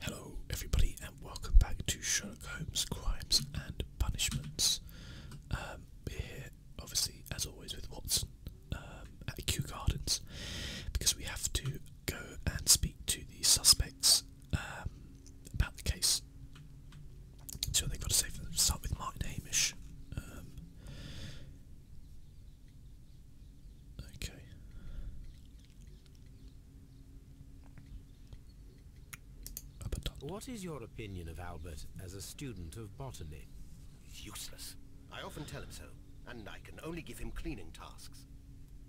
Hello, everybody, and welcome back to Sherlock Holmes Crimes and Punishments. Um, here, obviously, as always, with Watson um, at Kew Gardens because we have to go and speak to the suspects um, about the case. So they've got to say, start with Martin Hamish. Um, okay. What is your opinion of Albert as a student of botany? He's Useless. I often tell him so, and I can only give him cleaning tasks.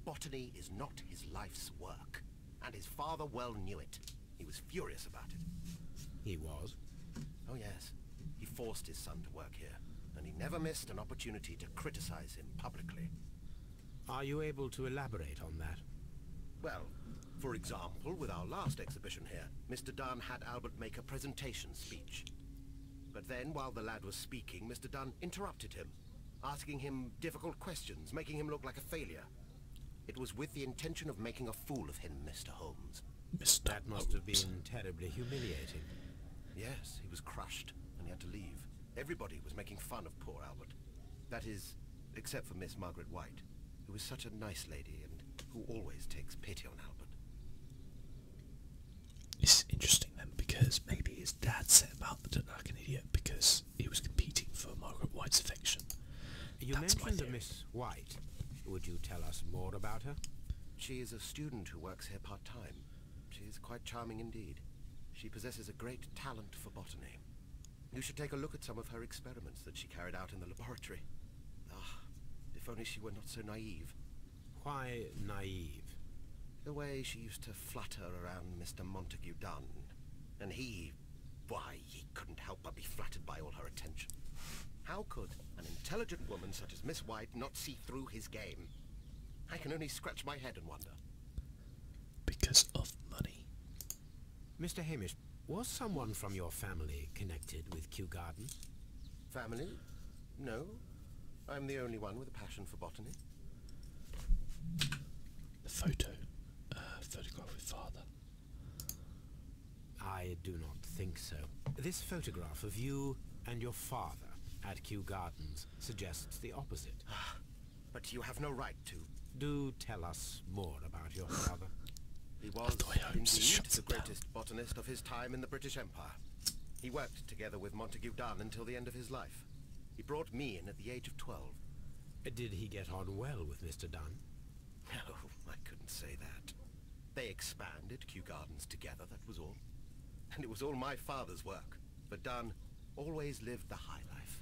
Botany is not his life's work, and his father well knew it. He was furious about it. He was? Oh yes. He forced his son to work here and he never missed an opportunity to criticize him publicly. Are you able to elaborate on that? Well, for example, with our last exhibition here, Mr. Dunn had Albert make a presentation speech. But then, while the lad was speaking, Mr. Dunn interrupted him, asking him difficult questions, making him look like a failure. It was with the intention of making a fool of him, Mr. Holmes. Mr. That must have been terribly humiliating. Yes, he was crushed, and he had to leave. Everybody was making fun of poor Albert. That is, except for Miss Margaret White, who is such a nice lady and who always takes pity on Albert. It's interesting then, because maybe his dad set him out the like an idiot because he was competing for Margaret White's affection. You mentioned Miss White. Would you tell us more about her? She is a student who works here part-time. She is quite charming indeed. She possesses a great talent for botany. You should take a look at some of her experiments that she carried out in the laboratory. Ah, if only she were not so naive. Why naive? The way she used to flutter around Mr. Montague Dunn. And he... why, he couldn't help but be flattered by all her attention. How could an intelligent woman such as Miss White not see through his game? I can only scratch my head and wonder. Because of money. Mr. Hamish, was someone from your family connected with Kew Gardens? Family? No. I'm the only one with a passion for botany. The photo. Uh, photograph with father. I do not think so. This photograph of you and your father at Kew Gardens suggests the opposite. Ah, but you have no right to. Do tell us more about your father. He was, indeed, the greatest botanist of his time in the British Empire. He worked together with Montague Dunn until the end of his life. He brought me in at the age of 12. Did he get on well with Mr. Dunn? No, oh, I couldn't say that. They expanded Kew Gardens together, that was all. And it was all my father's work. But Dunn always lived the high life.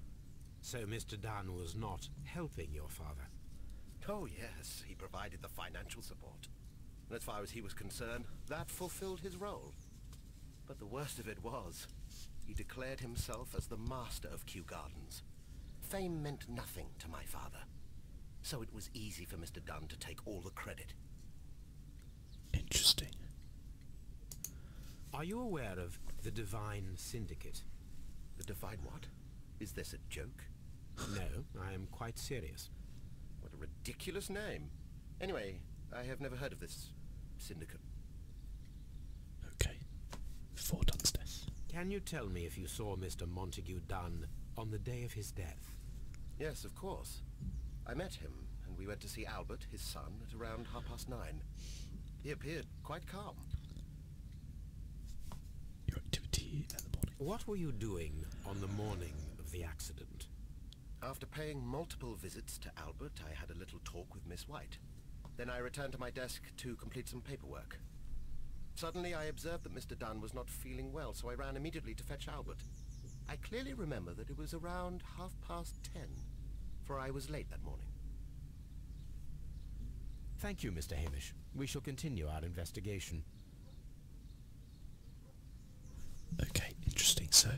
So Mr. Dunn was not helping your father? Oh, yes. He provided the financial support. And as far as he was concerned, that fulfilled his role. But the worst of it was, he declared himself as the master of Kew Gardens. Fame meant nothing to my father. So it was easy for Mr. Dunn to take all the credit. Interesting. Are you aware of the Divine Syndicate? The Divine what? Is this a joke? no, I am quite serious. What a ridiculous name. Anyway, I have never heard of this syndicate. Okay. Four Dunn's death. Can you tell me if you saw Mr. Montague Dunn on the day of his death? Yes, of course. I met him, and we went to see Albert, his son, at around half past nine. He appeared quite calm. Your activity in the morning. What were you doing on the morning of the accident? After paying multiple visits to Albert, I had a little talk with Miss White. Then I returned to my desk to complete some paperwork. Suddenly I observed that Mr. Dunn was not feeling well, so I ran immediately to fetch Albert. I clearly remember that it was around half past ten, for I was late that morning. Thank you, Mr. Hamish. We shall continue our investigation. Okay, interesting. So,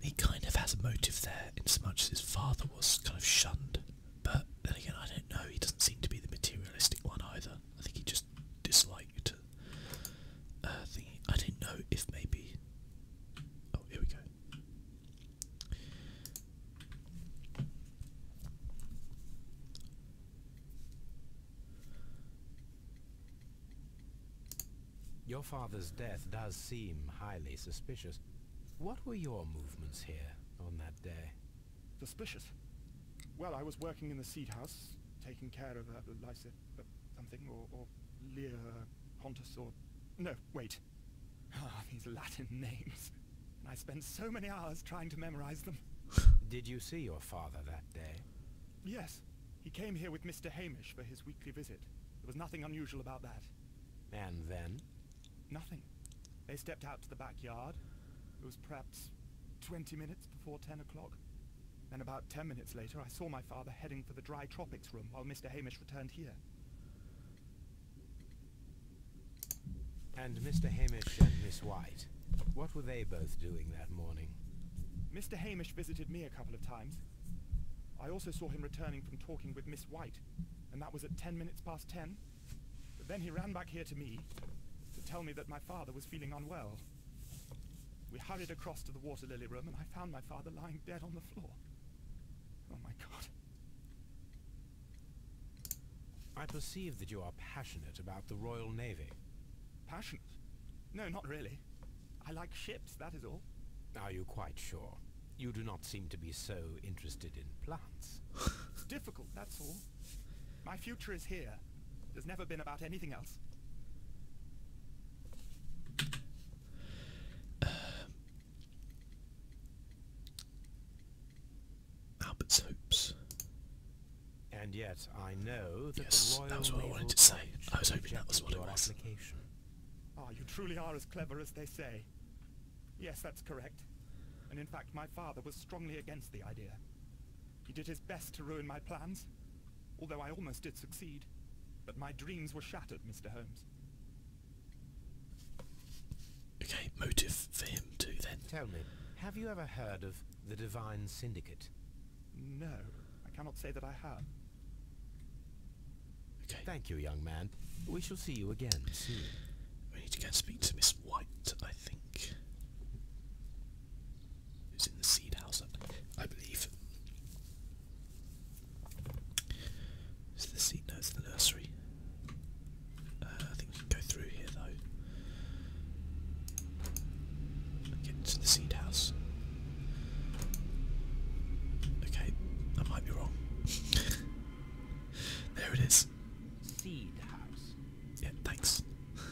he kind of has a motive there, in as much as his father was kind of shunned. But then again, I don't know. He doesn't seem to be the materialistic one either. I think he just disliked uh, I don't know if maybe Oh, here we go. Your father's death does seem highly suspicious. What were your movements here on that day? Suspicious? Well, I was working in the seed house, taking care of a lysis uh, something, or, or Lear uh, Pontus, or... No, wait. Ah, these Latin names. And I spent so many hours trying to memorize them. Did you see your father that day? Yes. He came here with Mr. Hamish for his weekly visit. There was nothing unusual about that. And then? Nothing. They stepped out to the backyard. It was perhaps 20 minutes before 10 o'clock. Then about 10 minutes later, I saw my father heading for the dry tropic room while oh, Mr. Hamish returned here. And Mr. Hamish and Miss White, what were they both doing that morning? Mr. Hamish visited me a couple of times. I also saw him returning from talking with Miss White, and that was at ten minutes past ten. But then he ran back here to me to tell me that my father was feeling unwell. We hurried across to the Water Lily room, and I found my father lying dead on the floor. Oh my god. I perceive that you are passionate about the Royal Navy. Passionate? No, not really. I like ships, that is all. Are you quite sure? You do not seem to be so interested in plants. it's difficult, that's all. My future is here. There's never been about anything else. Um, Albert's hopes. And yet I know that yes, the Royal that was what I to say. I was hoping that was what it was. Ah, you truly are as clever as they say. Yes, that's correct. And in fact, my father was strongly against the idea. He did his best to ruin my plans, although I almost did succeed. But my dreams were shattered, Mr. Holmes. Okay, motive for him too then. Tell me, have you ever heard of the Divine Syndicate? No, I cannot say that I have. Okay. Thank you, young man. We shall see you again soon. We need to go and speak to Miss White, I think. Who's in the seed house, I believe. Is the seat? No, the nursery. Uh, I think we can go through here though. Get to the seed house. Okay, I might be wrong. there it is. Seed house. Yeah, thanks.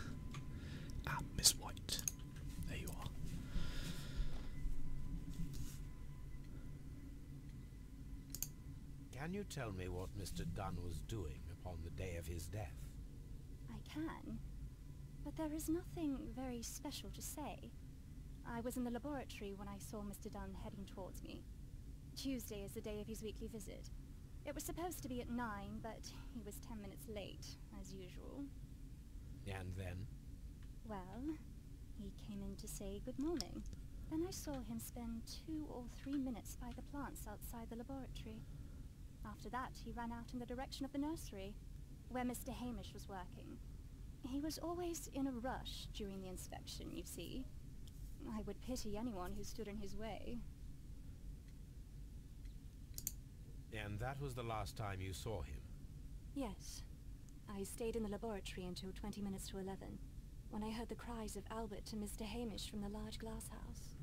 ah, Miss White. There you are. Can you tell me what Mr. Dunn was doing upon the day of his death? I can, but there is nothing very special to say. I was in the laboratory when I saw Mr. Dunn heading towards me. Tuesday is the day of his weekly visit. It was supposed to be at nine, but he was ten minutes late, as usual. And then? Well, he came in to say good morning. Then I saw him spend two or three minutes by the plants outside the laboratory. After that, he ran out in the direction of the nursery, where Mr. Hamish was working. He was always in a rush during the inspection, you see. I would pity anyone who stood in his way. And that was the last time you saw him? Yes. I stayed in the laboratory until 20 minutes to 11, when I heard the cries of Albert and Mr. Hamish from the large glass house.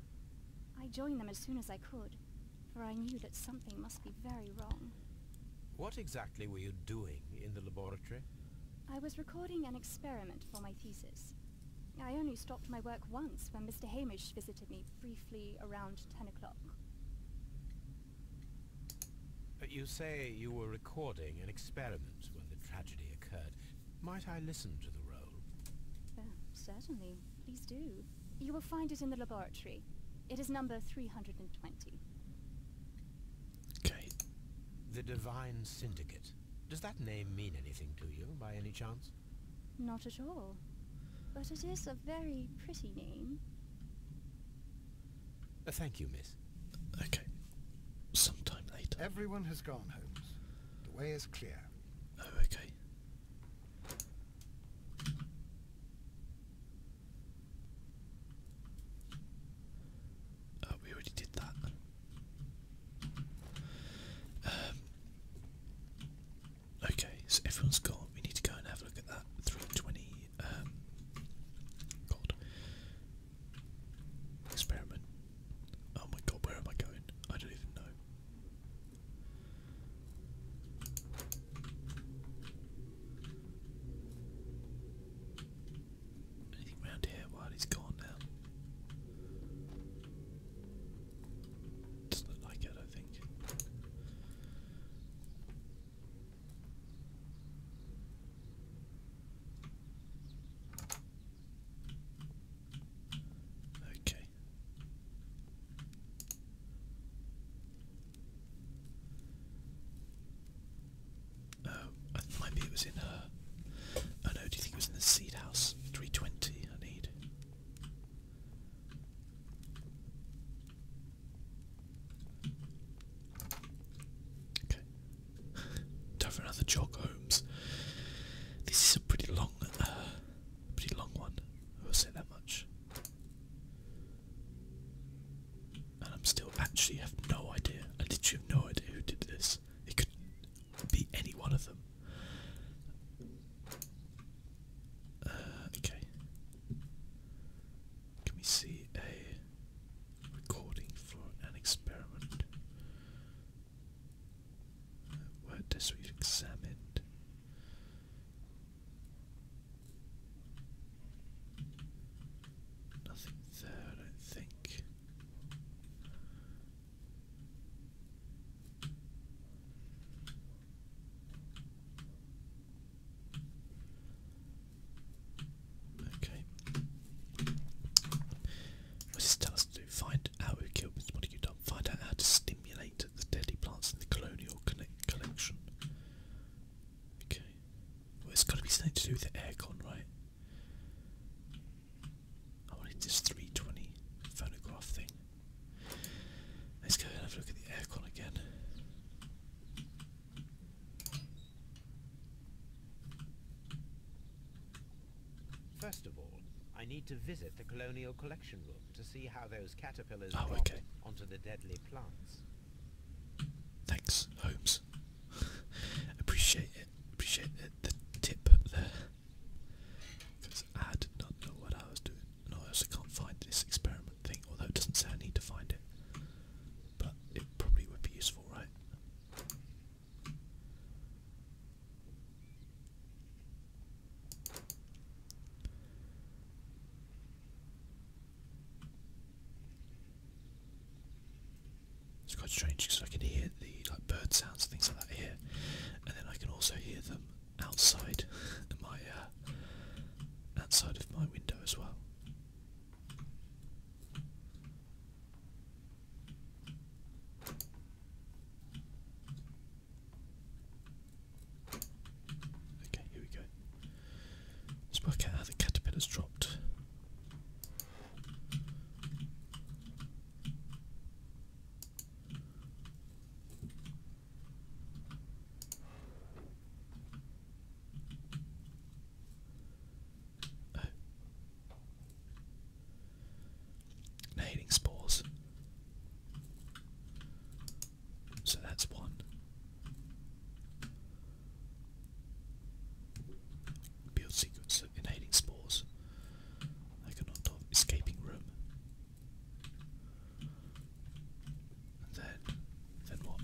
I joined them as soon as I could, for I knew that something must be very wrong. What exactly were you doing in the laboratory? I was recording an experiment for my thesis. I only stopped my work once when Mr. Hamish visited me briefly around 10 o'clock. But you say you were recording an experiment when the tragedy occurred. Might I listen to the role? Uh, certainly. Please do. You will find it in the laboratory. It is number 320. Okay. The Divine Syndicate. Does that name mean anything to you, by any chance? Not at all. But it is a very pretty name. Uh, thank you, miss. Okay. Sometime later. Everyone has gone, Holmes. The way is clear. Oh, okay. Uh, we already did that. Um, okay, so everyone's gone. We need to go and have a look at that. 320 God um, experiment. Oh my God, where am I going? I don't even know. Anything around here while he's gone now? Doesn't look like it, I think. Okay. Oh, I th it was in her. Uh, oh no, do you think it was in the seed house? 320 I need. Okay. Time for another jog, Holmes. This is a pretty long, uh, pretty long one. I will say that much. And I'm still actually have no idea. I literally have no idea who did this. It could be any one of them. Uh, okay. Can we see a recording for an experiment What this we've examined nothing there I think Okay. What does this to do? Find out who killed Mr. Montague Find out how to stimulate the deadly plants in the colonial collection. Okay. Well, it's got to be something to do with the aircon, right? I wanted this 320 phonograph thing. Let's go and have a look at the aircon again. First of all, I need to visit the colonial collection room to see how those caterpillars oh, onto the deadly plants. Thanks, Holmes. Appreciate it. Appreciate the tip there. Because I did not know what I was doing. And I also can't find this experiment thing, although it doesn't say I need to find it. But it probably would be useful, right? It's quite strange because I can hear the like bird sounds and things like that here, and then I can also hear them outside my uh, outside of my window as well. Okay, here we go. Let's work out how the caterpillar's dropped. Oh. Inhaling spores. So that's one. Build sequence of inhaling spores. I cannot talk. Escaping room. And then, then what?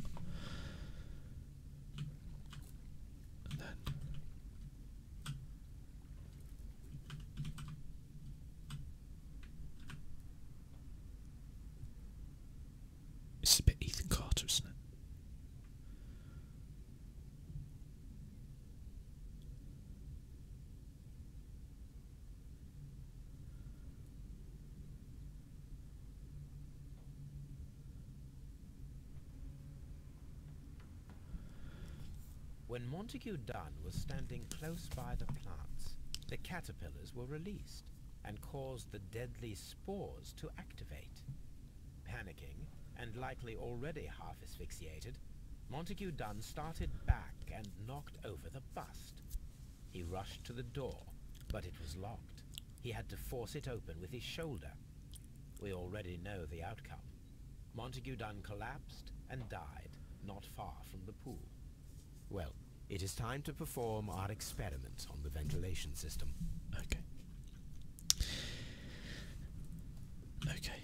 And this is a bit Ethan Carter, isn't it? When Montague Dunn was standing close by the plants, the caterpillars were released and caused the deadly spores to activate. Panicking, and likely already half asphyxiated, Montague Dunn started back and knocked over the bust. He rushed to the door, but it was locked. He had to force it open with his shoulder. We already know the outcome. Montague Dunn collapsed and died not far from the pool. Well, it is time to perform our experiment on the ventilation system. Okay. Okay.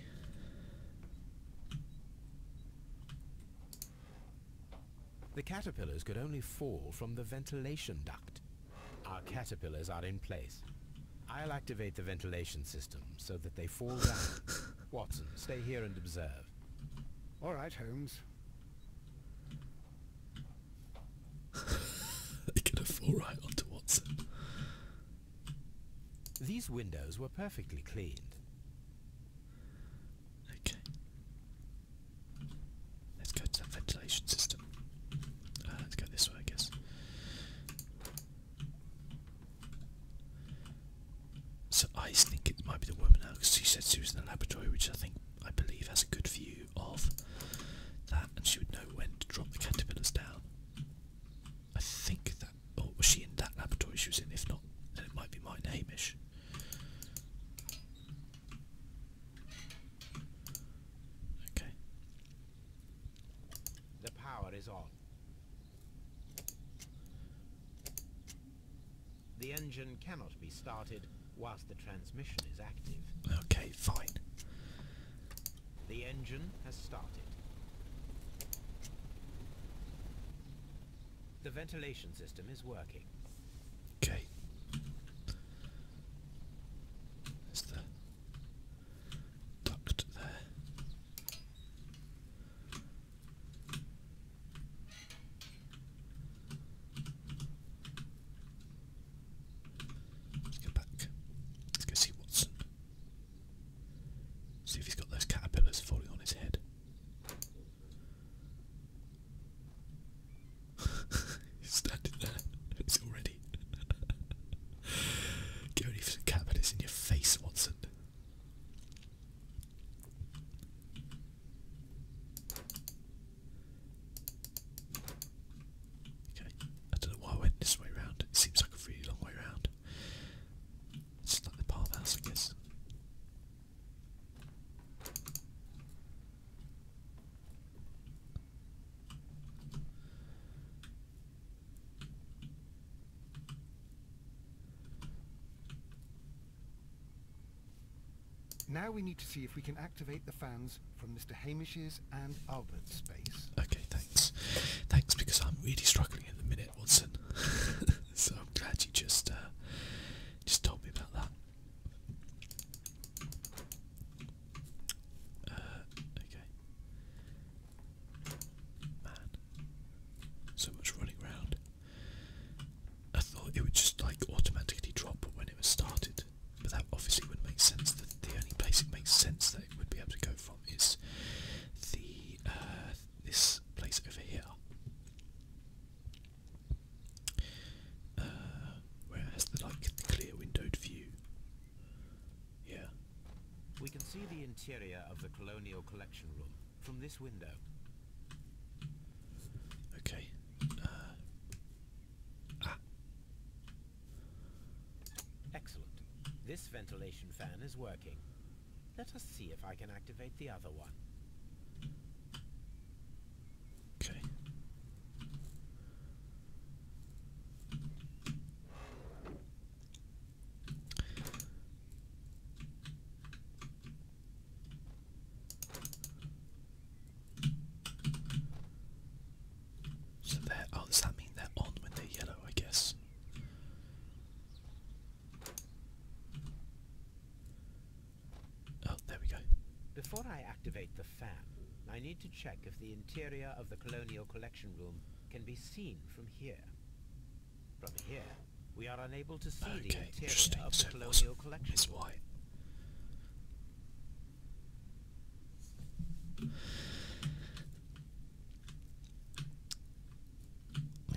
The caterpillars could only fall from the ventilation duct. Our caterpillars are in place. I'll activate the ventilation system so that they fall down. Watson, stay here and observe. All right, Holmes. they could have fall right onto Watson. These windows were perfectly cleaned. Okay. Let's go to the ventilation system. Uh, let's go this way, I guess. So I think it might be the woman now, because she said she was in the laboratory, which I think, I believe, has a good view of that, and she would know when to drop the caterpillars down. I think that, or was she in that laboratory she was in? If not, then it might be mine, Hamish. Okay. The power is on. The engine cannot be started whilst the transmission is active. Okay, fine. The engine has started. The ventilation system is working. Okay. There's the duct there. Let's go back. Let's go see Watson. See if he's got those caterpillars falling on his head standing there. It's already. Get ready for some cat it's in your face, Watson. Okay, I don't know why I went this way round. It seems like a really long way round. It's like the palm house, I guess. Now we need to see if we can activate the fans from Mr. Hamish's and Albert's space. Okay, thanks. Thanks, because I'm really struggling at the minute, Watson. so I'm glad you just uh, just told me about that. Uh, okay. Man. So much running around. I thought it would just like automatically drop when it was started, but that obviously wouldn't make sense. The, the only place it makes sense that it would be able to go from is the uh, this place over here. Uh, where has the like the clear windowed view. Yeah. We can see the interior of the colonial collection room from this window. Okay. Uh, ah. Excellent. This ventilation fan is working. Let us see if I can activate the other one. Okay. So they oh does that mean they're on when they're yellow, I guess? Oh, there we go. Before I activate I need to check if the interior of the Colonial Collection Room can be seen from here. From here, we are unable to see the interior of the Colonial Collection Room. Why.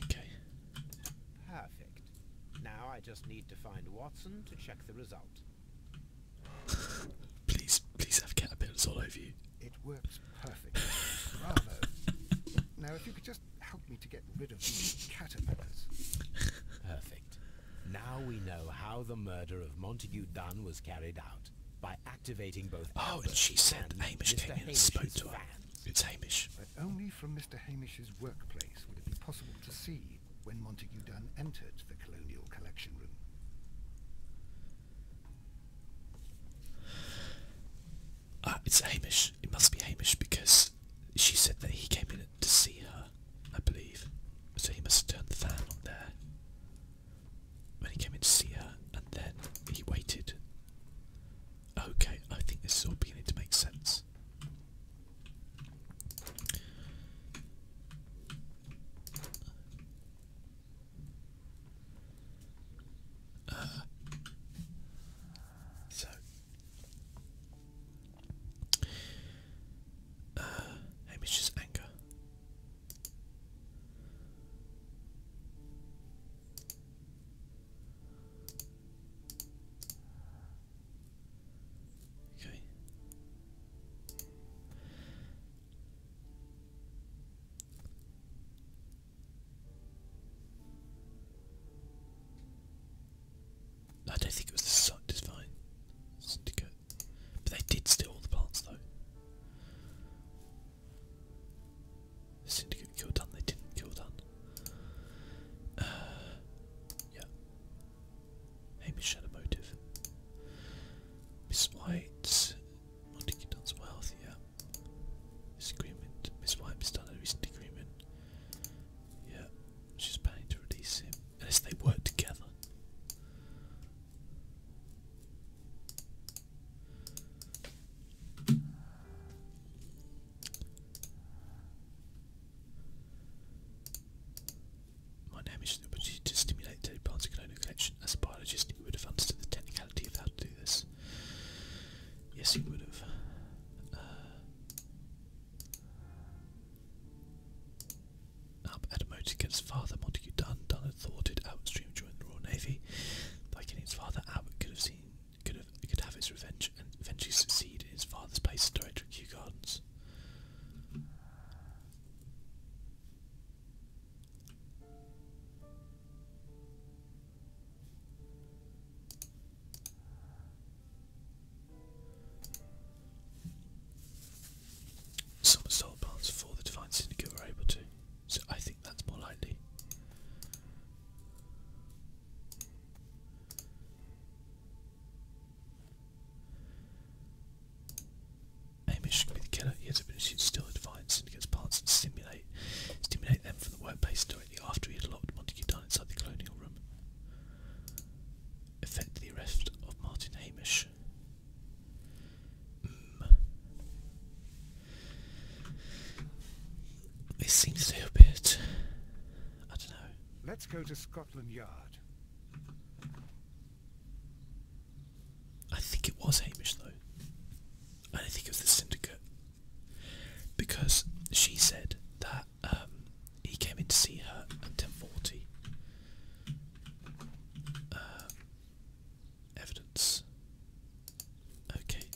Okay. Perfect. Now I just need to find Watson to check the result. please, please have caterpillars all over you. It works perfectly. Bravo. now, if you could just help me to get rid of these caterpillars. Perfect. Now we know how the murder of Montague Dunn was carried out by activating both. Oh, and she said and Hamish Mr. came Hamish and spoke to her. It's Hamish. But only from Mr. Hamish's workplace would it be possible to see when Montague Dunn entered the colonial collection room. Uh, it's Hamish. It must be Hamish because she said that he came in to see her, I believe. So he must have turned the fan on there when he came in to see her, and then he waited. Okay, I think this is all beginning to make sense. Uh, so, uh, Hamish's anger. Okay. I don't think it was the satisfying syndicate. But they did steal all the plants though. syndicate killed Dunn, they didn't kill Dunn. Uh, yeah. Hamish had a motive. Miss White, Montague Dunn's wealth, yeah. This agreement, Miss White missed done a recent agreement. Yeah, she's planning to release him. Unless they work together. My name is Snoopy to stimulate Teddy Barnes' clonal collection. As a biologist, he would have understood the technicality of how to do this. Yes, he would have. Uh, up at a motor against father, Montague Dunn. Dunn had thwarted Albert's dream during the Royal Navy. By killing his father, Albert could have seen could have could have his revenge and eventually succeed in his father's place at director of Gardens. Some solar plants for the Divine Syndicate were able to, so I think that's more likely. Amish can be the killer, He has a should still find syndicate's parts and stimulate stimulate them from the workplace directly after he had locked Montague down inside the colonial room. Effect the arrest of Martin Hamish. Mm. This seems a little bit. I don't know. Let's go to Scotland Yard. I think it was Hamish though. I don't think it was the syndicate. Because she said that um, he came in to see her at 10.40. Um, evidence. Okay.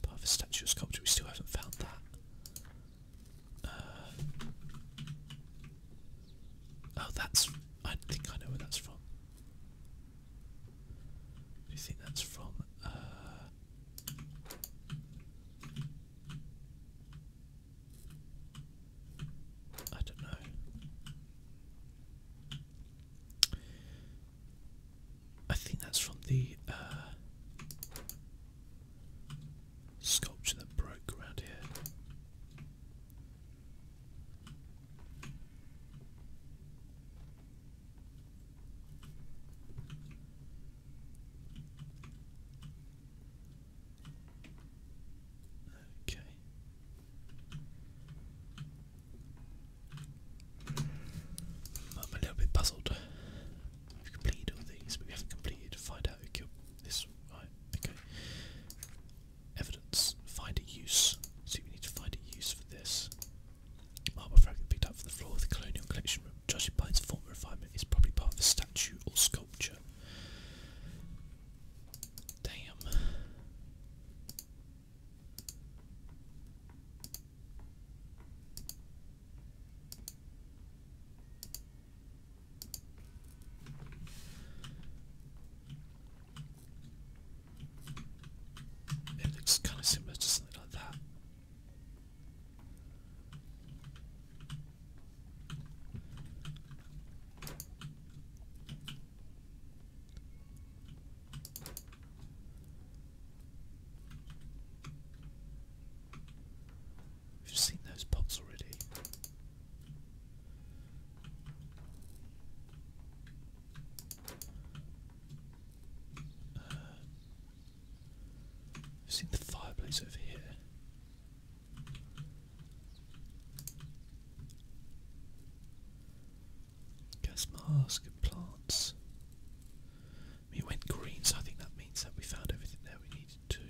Part of a statue or sculpture, we still haven't found that. Uh, Oh, that's. I think I know where that's from. I think that's from. Uh, I don't know. I think that's from the uh, sculpture that broke around here. Okay. I'm a little bit puzzled. We've completed all these, but we haven't completed to find out who killed this. Right, okay. Evidence. Find a use. See, we need to find a use for this. Marble fragment picked up from the floor of the colonial collection room. Judging by former refinement, is probably part of a statue or sculpture. Damn. It looks kind of similar to something like that. We've seen those pots already. Uh, I've seen the fireplace over here. Gas mask and plants. We went green, so I think that means that we found everything there we needed to.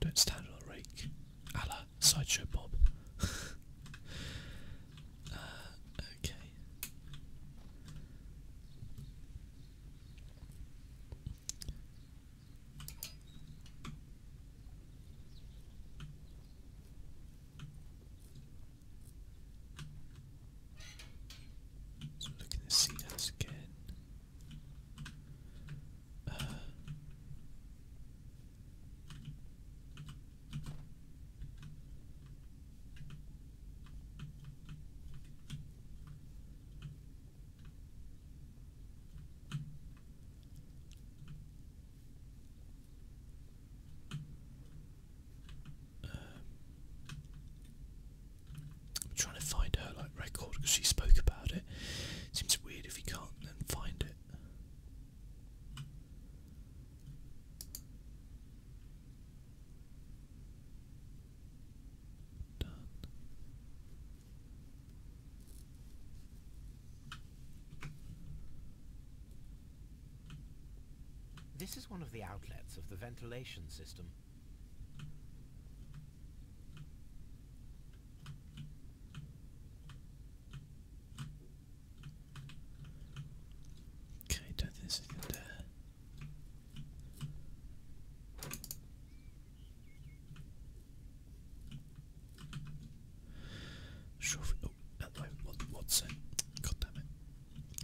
Don't stand on the rake. A Sideshow Bob. Uh, okay. So looking to see us again. Uh, I'm trying to find her like record because she spoke about it. Seems weird if you can't then find it. Done. This is one of the outlets of the ventilation system. Okay, that is not there. Oh, hello, Watson. God damn it.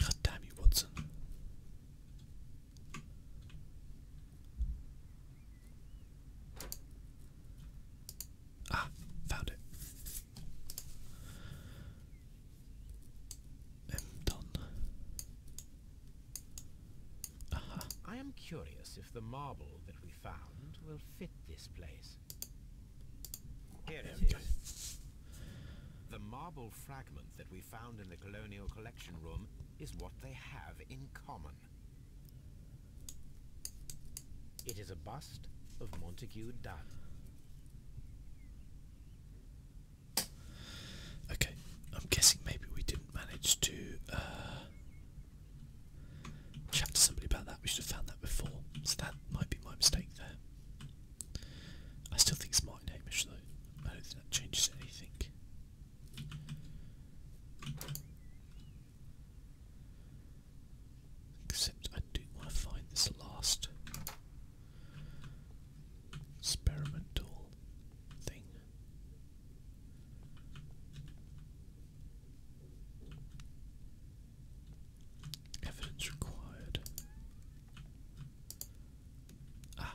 God damn you, Watson. Ah, found it. I'm done. I am curious if the marble that we found will fit this place. Here it is. The marble fragment that we found in the colonial collection room is what they have in common. It is a bust of Montague Dunn. Okay, I'm guessing maybe we didn't manage to uh, chat to somebody about that. We should have found that before, so that might be my mistake there. I still think it's my name, actually. I don't think that changes anything. Except I do want to find this last experimental thing. Evidence required. Ah,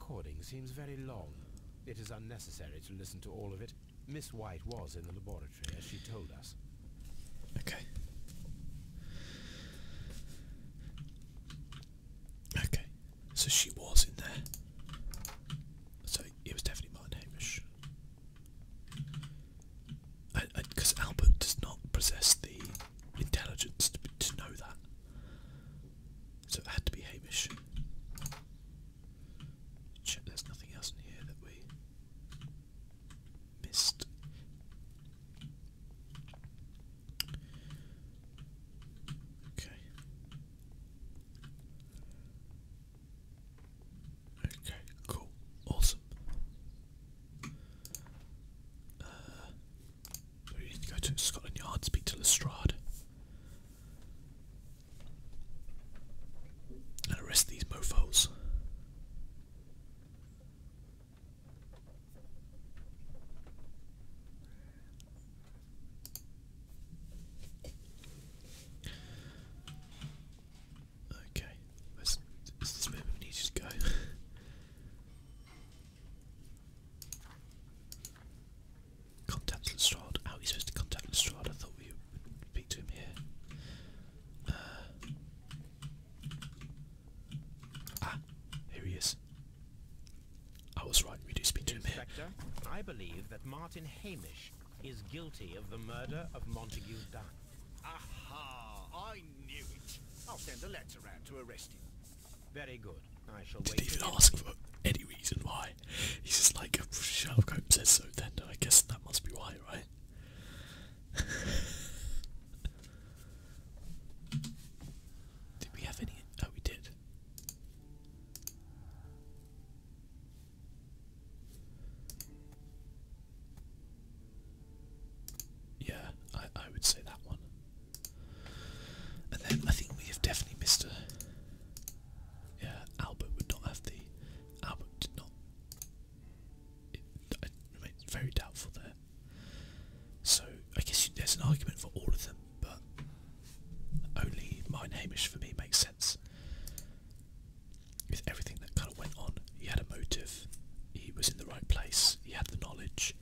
recording seems very long. It is unnecessary to listen to all of it. Miss White was in the laboratory, as she told us. Okay. Okay, so she was in there. So it was definitely Martin Hamish. Because Albert does not possess the intelligence to, to know that. So it had to be Hamish. there's nothing else in here that we missed. Okay. Okay, cool. Awesome. Uh, so you need to go to Scotland Yard, speak to Lestrade, and arrest these mofos. Okay, is this where we need to go? Contact Lestrade. How are we supposed to contact Lestrade? I thought we would speak to him here. Uh, ah, here he is. I was right, we do speak to him Inspector, I believe that Martin Hamish is guilty of the murder of Montague Dunn. Aha! I knew it! I'll send a letter around to arrest him. Very good. I shall did wait even ask for any reason why. He's just like, oh, Sherlock Holmes says so then, I guess that must be why, right? did we have any? Oh, we did. Yeah, I, I would say that one. And then I think we have definitely missed a. Yeah, Albert would not have the. Albert did not. It, it very doubtful there. So I guess there's an argument for all of them, but only mine Hamish for me makes sense. With everything that kind of went on, he had a motive. He was in the right place. He had the knowledge.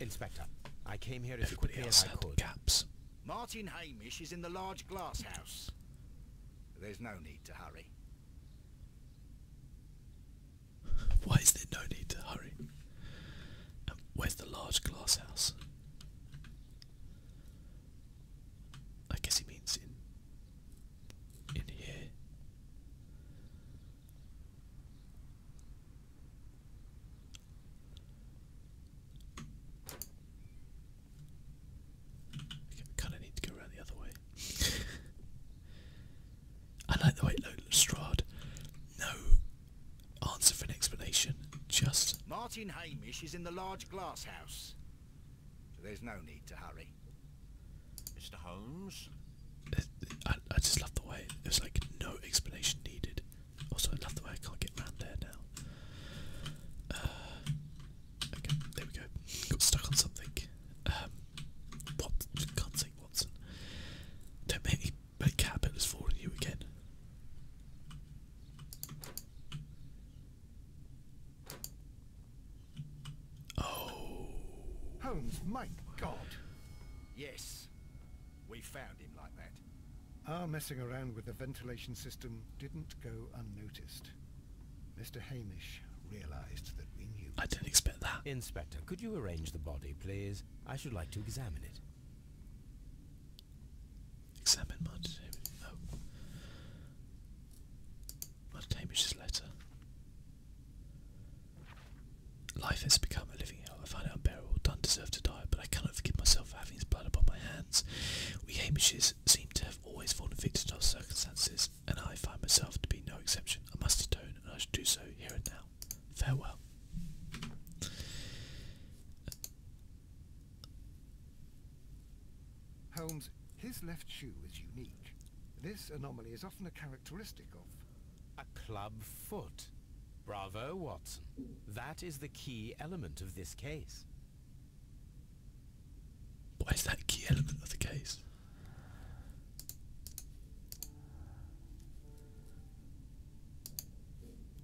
Inspector, I came here as quickly as I had could. gaps. Martin Hamish is in the large glass house. There's no need to hurry. Why is there no need to hurry? Um, where's the large glass house? I guess he means in in here. I kind of need to go around the other way. I like the way look, Lestrade. No answer for an explanation. Just Martin Hamish is in the large glass house. there's no need to hurry. Mr. Holmes. Uh, I, just love the way there's like no explanation needed. Also, I love the way I can't get round there now. Uh, okay, there we go. Got stuck on something. Um, Can't say Watson. Don't make me make caterpillars fall again. Oh. Holmes, my God. Yes, we found him like that. Our messing around with the ventilation system didn't go unnoticed. Mr. Hamish realized that we knew. I didn't expect that. Inspector, could you arrange the body, please? I should like to examine it. Examine Mud. No. Hamish's letter. Life has become a living you know, I find it unbearable. Don't deserve to die, but I cannot forgive myself for having his blood upon my hands. We Hamishes seem to have always fallen victim to our circumstances, and I find myself to be no exception. I must atone, and I shall do so here and now. Farewell. Holmes, his left shoe is unique. This anomaly is often a characteristic of... A club foot. Bravo, Watson. That is the key element of this case. What is that key element of the case?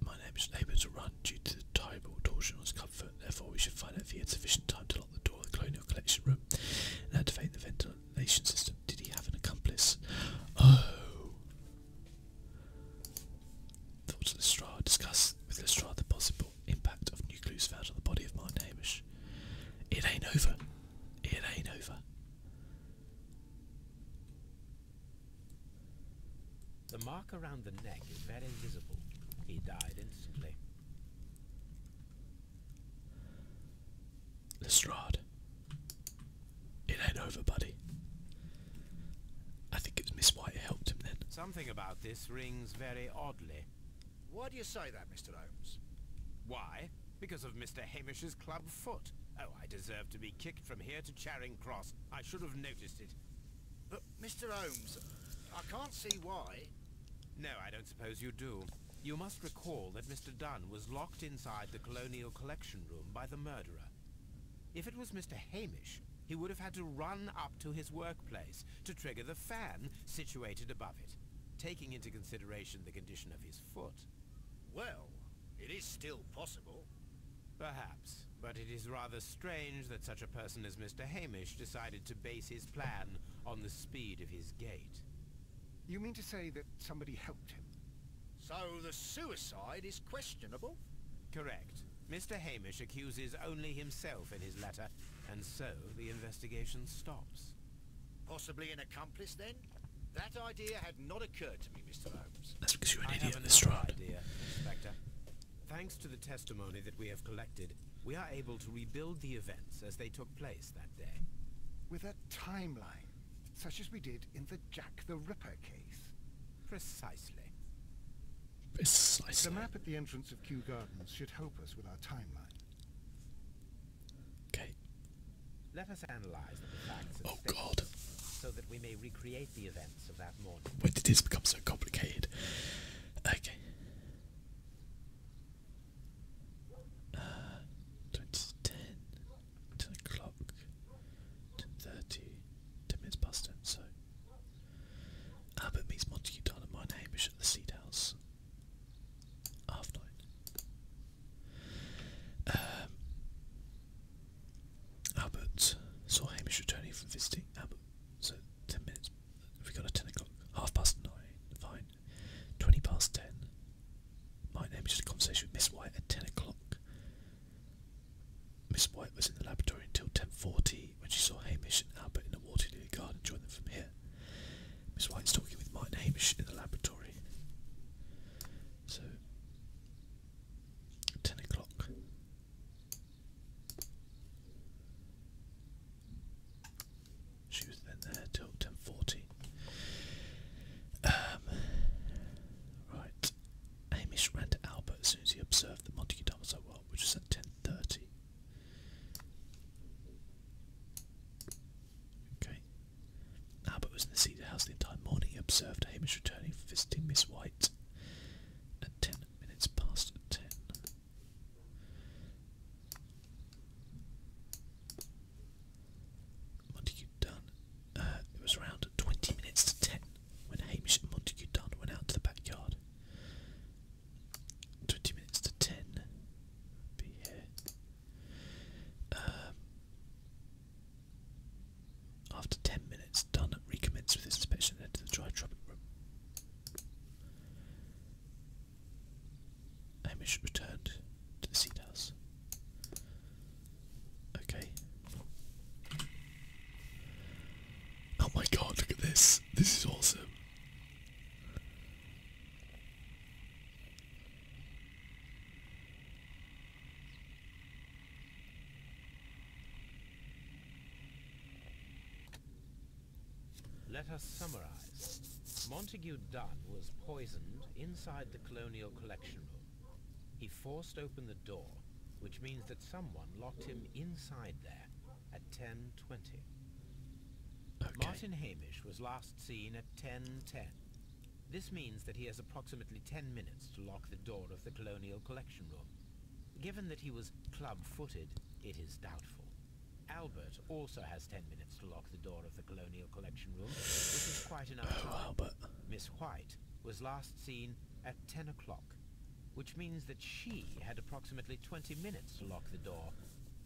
My name is unable to run due to the terrible torsion on his therefore we should find out if he had sufficient time to lock the door the colonial collection room and activate the ventilation system. Did he have an accomplice? Oh, Thought Lestrade, discussed with Lestrade the possible impact of new clues found on the body of Martin Hamish. It ain't over. It ain't over. The mark around the neck is very visible. He died instantly. Lestrade. It ain't over, buddy. I think it was Miss White who helped him then. Something about this rings very oddly. Why do you say that, Mr. Holmes? Why? Because of Mr. Hamish's club foot. Oh, I deserve to be kicked from here to Charing Cross. I should have noticed it. But, Mr. Holmes, I can't see why. No, I don't suppose you do. You must recall that Mr. Dunn was locked inside the Colonial Collection Room by the murderer. If it was Mr. Hamish, he would have had to run up to his workplace to trigger the fan situated above it, taking into consideration the condition of his foot. Well, it is still possible. Perhaps, but it is rather strange that such a person as Mr. Hamish decided to base his plan on the speed of his gait. You mean to say that somebody helped him? So the suicide is questionable? Correct. Mr. Hamish accuses only himself in his letter, and so the investigation stops. Possibly an accomplice, then? That idea had not occurred to me, Mr. Holmes. That's because you're an I idiot, Lestrade. Idea, Inspector. Thanks to the testimony that we have collected, we are able to rebuild the events as they took place that day. With a timeline, such as we did in the Jack the Ripper case. Precisely. Precisely. The map at the entrance of Kew Gardens should help us with our timeline. Okay. Let us analyze the facts. Oh God. So that we may recreate the events of that morning. When did this become so complicated? Okay. Uh, ten, ten o'clock, ten thirty, ten minutes past ten. So Albert meets Montague Dunham and Hamish at the Seed House. Half nine. Um, Albert saw Hamish returning from visiting Albert. So ten minutes. We got a ten o'clock. Half past nine. Fine. Twenty past ten. My Hamish had a conversation with Miss White at ten o'clock. Miss White was in the laboratory until 10.40 when she saw Hamish and Albert in the Waterloo garden join them from here. Miss White is talking with Martin Hamish in the laboratory. So, 10 o'clock. She was then there till 10.40. Um, right. Hamish ran to Albert as soon as he observed that Montague done so well, which was at ten thirty. Okay. Albert was in the Cedar House the entire morning. He observed Hamish returning, visiting Miss White at ten minutes past ten. Montague done. Uh, it was around twenty minutes to ten when Hamish and Montague Dunn went out to the backyard. Twenty minutes to ten. Be here. Um, after ten minutes, Dunn recommenced with his inspection into the dry tropic room. Hamish returned to the seed house. Okay, Oh my god, look at this. This is awesome. Let us summarize. Montague Dunn was poisoned inside the Colonial Collection Room. He forced open the door which means that someone locked him inside there at 10.20. Martin Hamish was last seen at 10.10. This means that he has approximately 10 minutes to lock the door of the Colonial Collection Room. Given that he was club-footed, it is doubtful. Albert also has 10 minutes to lock the door of the Colonial Collection Room, which is quite enough oh, time. Oh, Albert. Miss White was last seen at 10 o'clock which means that she had approximately 20 minutes to lock the door.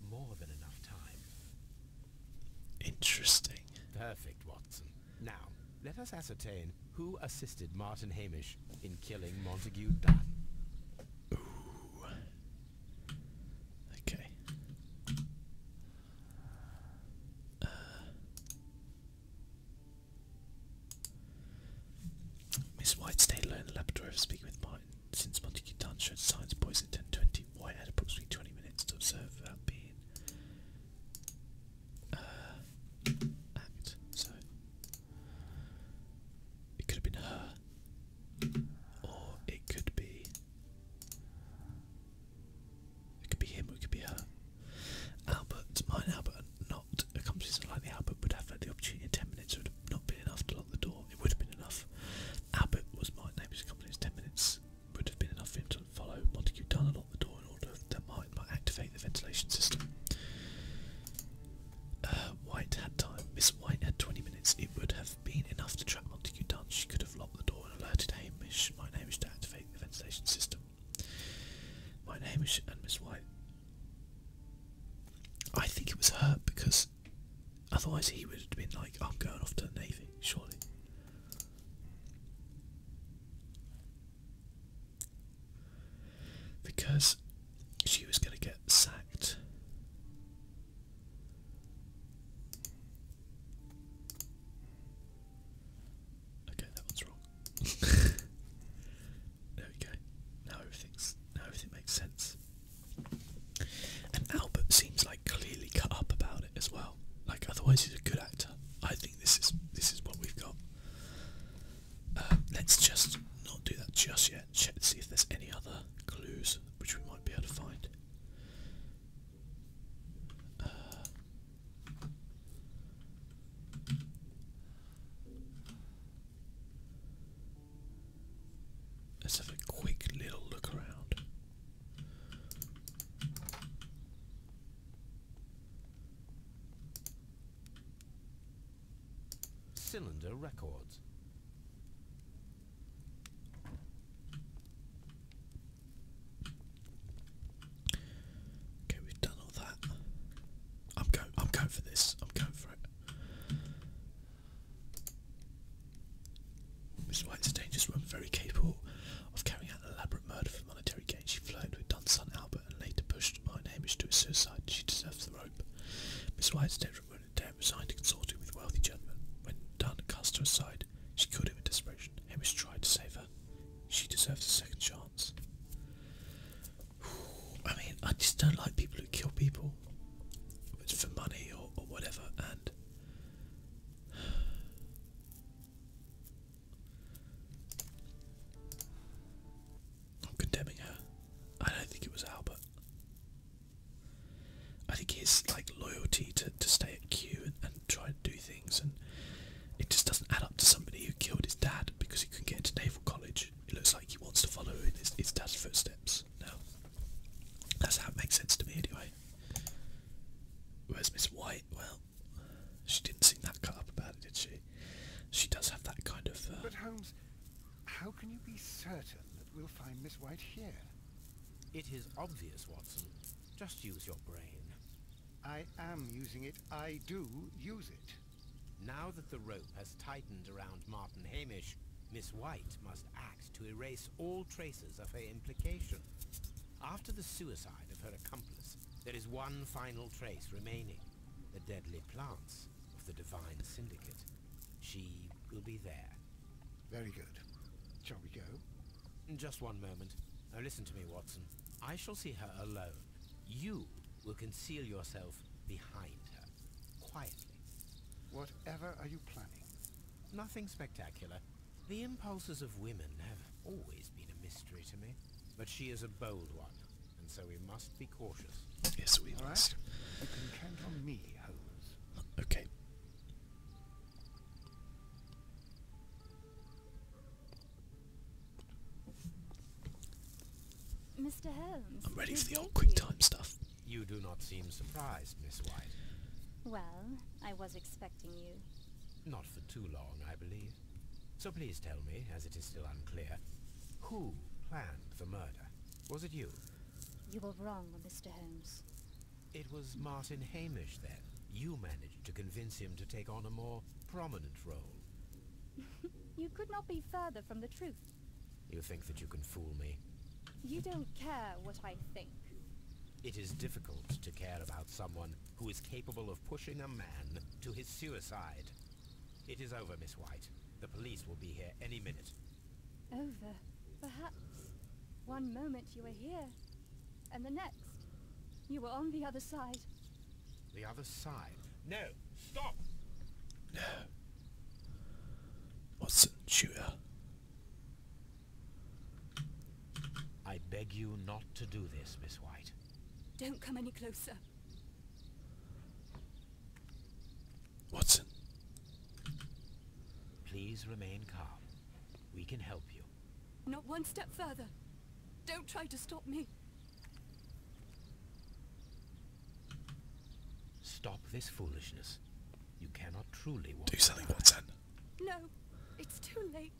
More than enough time. Interesting. Perfect, Watson. Now, let us ascertain who assisted Martin Hamish in killing Montague Dunn. Ooh. Okay. Uh, Miss White stayed alone in the laboratory for speaking with Martin. Since Monty Dunn showed signs of poisoning, at ten twenty, White had approximately twenty minutes to observe without being uh, So it could have been her, or it could be it could be him, it could be her. Albert, mine Albert not a competition like the Albert would have had the opportunity in 10 minutes, it would have not been enough to lock the door. It would have been enough. Albert was my neighbour's company's 10 minutes would have been enough for him to follow Montague down and lock the door in order that Martin might activate the ventilation system. Uh, White had time. Miss White had 20 minutes. It would have been enough to trap Montague down. She could have locked the door and alerted Hamish, my Hamish, to activate the ventilation system. Mine Hamish and Miss White. I think it was her because otherwise he would have been like, I'm going off to the Navy, surely. Because she was going to get sacked. Okay, that one's wrong. There we go. Now everything's now everything makes sense. And Albert seems like clearly cut up about it as well. Like otherwise he's a good actor. I think this is this is what we've got. Um, let's just not do that just yet. Check to see if there's any other clues which we might be able to find. Uh, Let's have a quick little look around. Cylinder records. Okay, we've done all that. I'm going. I'm going for this. I'm going for it. Miss Whitestone dangerous woman. very capable of carrying out an elaborate murder for monetary gain. She flirted with Dunson Albert and later pushed Martin Hamish to a suicide. She deserves the rope. Miss Whitestone resigned consorting with wealthy gentlemen. When Dunn cast her aside, she killed him in desperation. Hamish tried to save her. She deserves a second chance. I mean, I just don't like people who kill people for money or, whatever, and I'm condemning her. I don't think it was Albert. I think his like loyalty to, to stay at Q and, and try and do things and it just doesn't add up to somebody who killed his dad because he couldn't get into naval college it looks like he wants to follow in his, his dad's footsteps now. That's how it makes sense to me anyway. Where's Miss White? Well, she didn't seem that cut up about it, did she? She does have that kind of... Uh... But Holmes, how can you be certain that we'll find Miss White here? It is obvious, Watson. Just use your brain. I am using it. I do use it. Now that the rope has tightened around Martin Hamish, Miss White must act to erase all traces of her implication. After the suicide of her accomplice, there is one final trace remaining. The deadly plants of the Divine Syndicate. She will be there. Very good. Shall we go? Just one moment. Now listen to me, Watson. I shall see her alone. You will conceal yourself behind her, quietly. Whatever are you planning? Nothing spectacular. The impulses of women have always been a mystery to me. But she is a bold one, and so we must be cautious. Yes, we must. You can count on me, Holmes. Okay. Mr. Holmes. I'm ready for the old quick time stuff. You do not seem surprised, Miss White. Well, I was expecting you. Not for too long, I believe. So please tell me, as it is still unclear, who planned the murder? Was it you? You were wrong, Mr. Holmes. It was Martin Hamish, then. You managed to convince him to take on a more prominent role. you could not be further from the truth, you think that you can fool me? You don't care what I think. It is difficult to care about someone who is capable of pushing a man to his suicide. It is over, Miss White. The police will be here any minute. Over? Perhaps. One moment you were here, and the next, you were on the other side. The other side. No, stop. No. Watson, shooter. I beg you not to do this, Miss White. Don't come any closer. Watson. Please remain calm. We can help you. Not one step further. Don't try to stop me. Stop this foolishness. You cannot truly Do something, Watson. No, it's too late.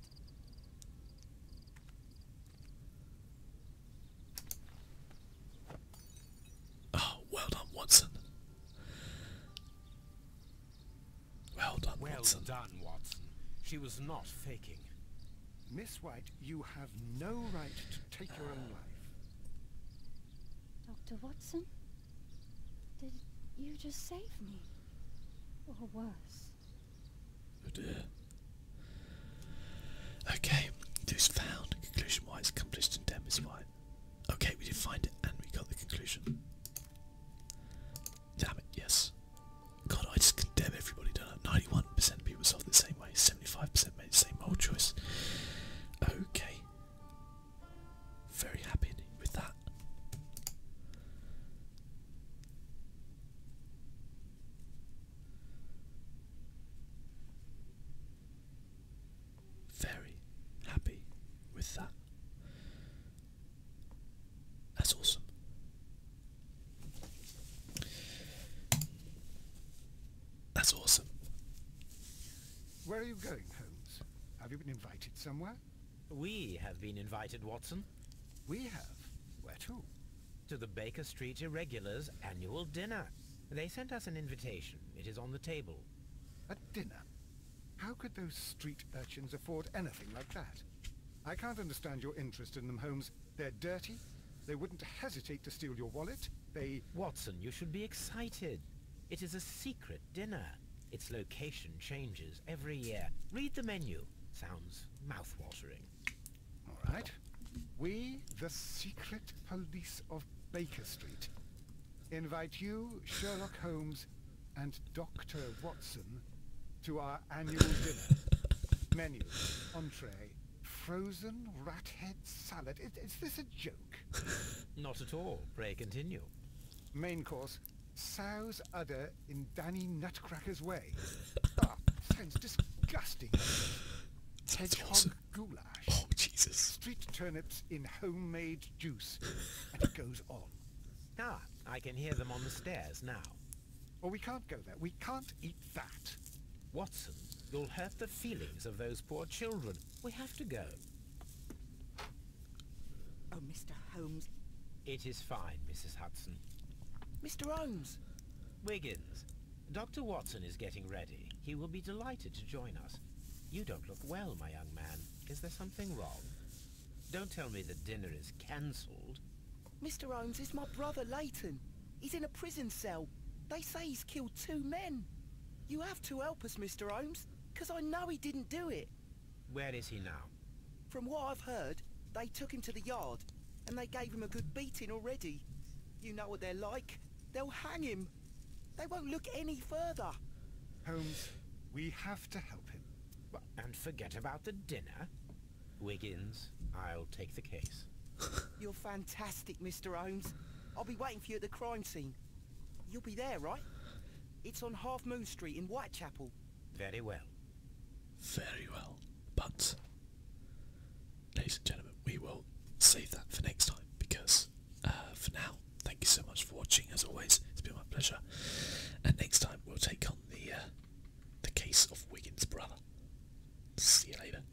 Oh, well done, Watson. Well done, Watson. Well done, Watson. She was not faking. Miss White, you have no right to take your own life. Dr. Watson? Did you just save me? Or worse? Oh dear. Okay, clues found. Conclusion White's accomplished and dead Miss White. Okay, we did find it and we got the conclusion. Damn it, yes. God, I just condemn everybody, don't I? 91% of people solve the same way, 75% same old choice. Okay. Very happy with that. Very happy with that. That's awesome. That's awesome. Where are you going, Holmes? Have you been invited somewhere? We have been invited, Watson. We have? Where to? To the Baker Street Irregulars annual dinner. They sent us an invitation. It is on the table. A dinner? How could those street urchins afford anything like that? I can't understand your interest in them, Holmes. They're dirty, they wouldn't hesitate to steal your wallet. They... Watson, you should be excited. It is a secret dinner. Its location changes every year. Read the menu. Sounds mouth-watering. All right. We, the secret police of Baker Street, invite you, Sherlock Holmes, and Dr. Watson to our annual dinner. Menu, entree, Frozen rat head salad. Is, this a joke? Not at all. Pray continue. Main course. Sow's udder in Danny Nutcracker's way. ah, sounds disgusting. Hedgehog awesome. goulash. Oh, Jesus. Street turnips in homemade juice. and it goes on. Ah, I can hear them on the stairs now. Well, we can't go there. We can't eat that. Watson, you'll hurt the feelings of those poor children. We have to go. Oh, Mr. Holmes. It is fine, Mrs. Hudson. Mr. Holmes! Wiggins, Dr. Watson is getting ready. He will be delighted to join us. You don't look well, my young man. Is there something wrong? Don't tell me the dinner is cancelled. Mr. Holmes, is my brother Leighton. He's in a prison cell. They say he's killed two men. You have to help us, Mr. Holmes, 'cause I know he didn't do it. Where is he now? From what I've heard, they took him to the yard, and they gave him a good beating already. You know what they're like. They'll hang him. They won't look any further. Holmes, we have to help him. And forget about the dinner. Wiggins, I'll take the case. You're fantastic, Mr. Holmes. I'll be waiting for you at the crime scene. You'll be there, right? It's on Half Moon Street in Whitechapel. Very well. Very well. But, ladies and gentlemen, we will save that for next time because uh, for now, thank you so much for watching. As always, it's been my pleasure. And next time, we'll take on the uh, the case of Wiggins' brother. See you later.